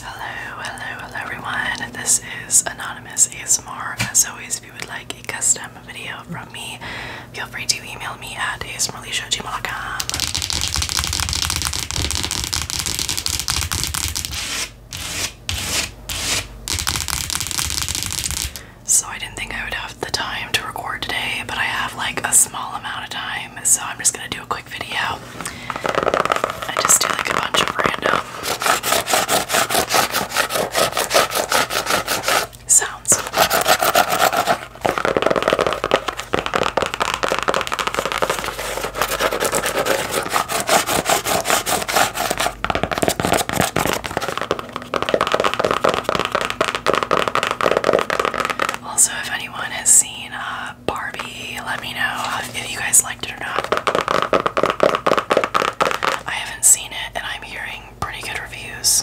Hello, hello, hello everyone. This is Anonymous ASMR. As always, if you would like a custom video from me, feel free to email me at asmrleisha.gmail.com. So I didn't think I would have the time to record today, but I have like a small amount of time, so I'm just gonna do a quick video. I just do like a bunch of random sounds. Also, if anyone has seen uh, Barbie, let me know uh, if you guys liked it or not. I haven't seen it, and I'm hearing pretty good reviews.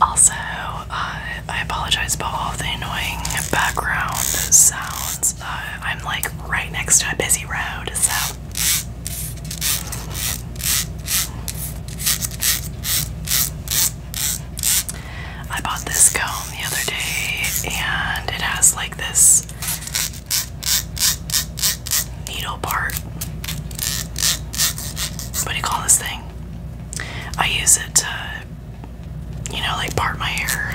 Also, uh, I apologize about all the annoying background sounds. Uh, I'm like right next to a busy road, so. I bought this comb the other day and it has like this needle part. What do you call this thing? I use it to, you know, like part my hair.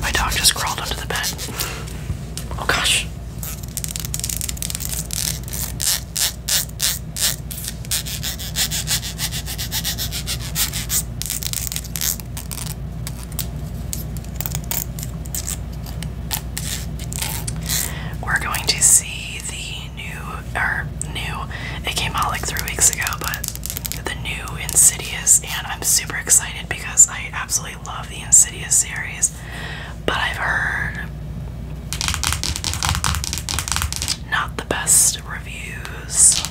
My dog just crawled under the bed. Oh gosh. We're going to see the new or new. It came out like three weeks ago, but the new Insidious, and I'm super excited because I absolutely love the Insidious series. But I've heard not the best reviews.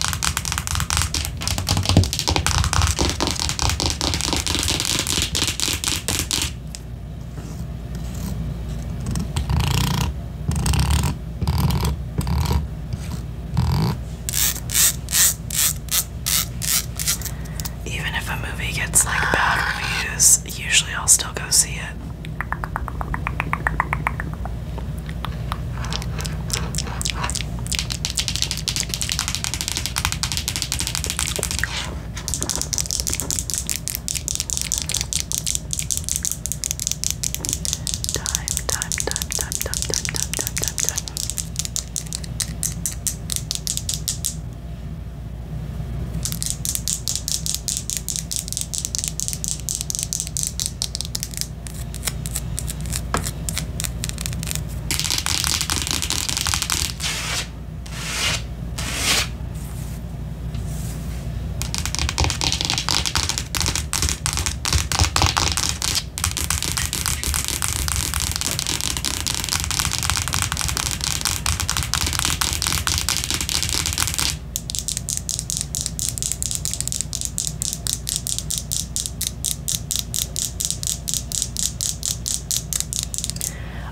Even if a movie gets like bad reviews, usually I'll still go see it. Time, time, time, time, time, time, time, time, time, time.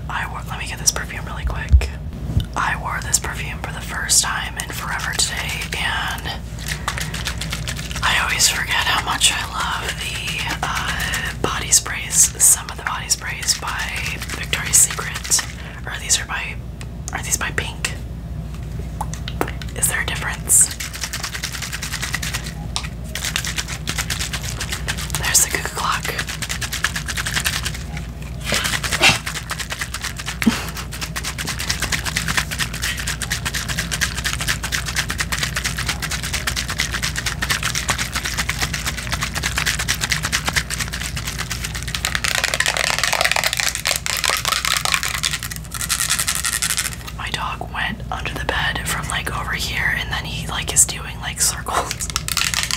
I want, let me get this perfume really quick. I wore this perfume for the first time in forever today, and I always forget how much I love the uh, body sprays. Some of the body sprays by Victoria's Secret, or these are by are these by Pink? Is there a difference? There's the cuckoo clock. My dog went under the bed from like over here and then he like is doing like circles.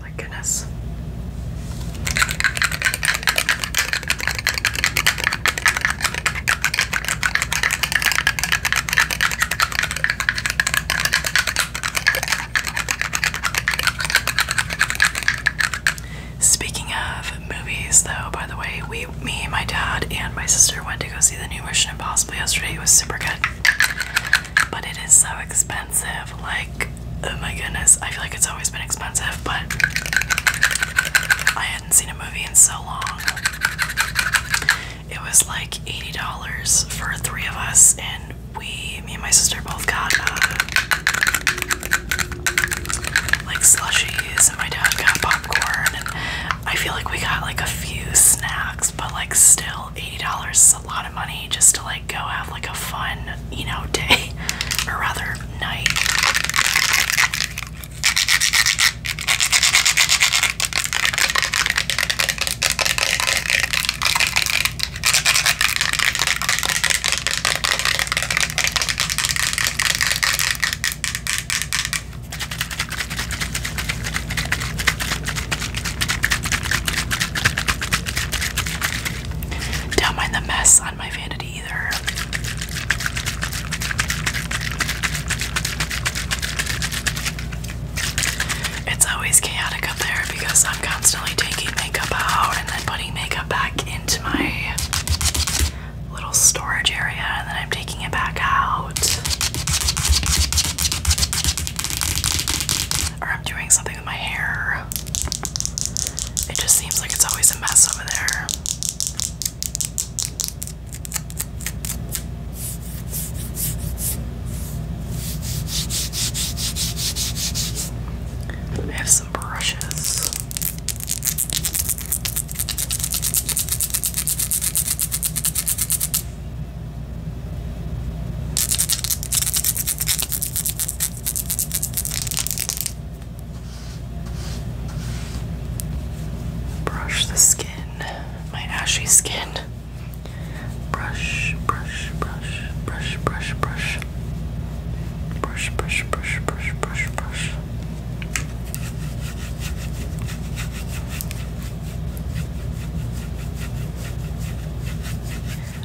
My goodness. Speaking of movies, though, by the way, we, me, my dad, and my sister went to go see the new Mission Impossible yesterday. It was super good but it is so expensive. Like, oh my goodness, I feel like it's always been expensive, but I hadn't seen a movie in so long. It was like $80 for three of us, and we, me and my sister, both got uh, like slushies, and my dad got popcorn, and I feel like we got like a few snacks, but like still, $80 is a lot of money just to like go have like a fun, you know, day or rather night. Don't mind the mess on my vanity either. It's always chaotic up there because I'm constantly taking makeup out and then putting makeup back into my little storage area and then I'm taking it back out. Or I'm doing something with my hair. It just seems like it's always a mess over there. I have some brushes. Brush the skin, my ashy skin. Brush, brush, brush, brush, brush, brush. Brush, brush, brush, brush, brush, brush.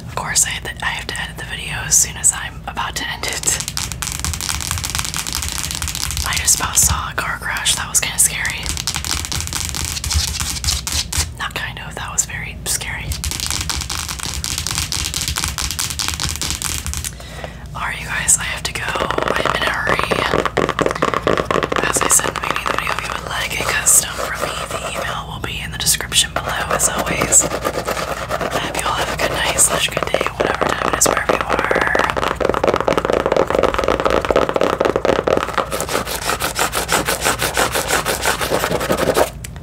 Of course, I, have to edit the video as soon as I'm about to end it. I just about saw a car crash. That was kind of scary. Not kind of, that was very scary. Alright, you guys, I have to go. I'm in a hurry. As I said in the of you would like a custom from me, the email will be in the description below, as always. I hope you all have a good night, slash good day, whatever time it is, wherever you are.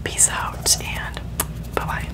Peace out, and bye bye.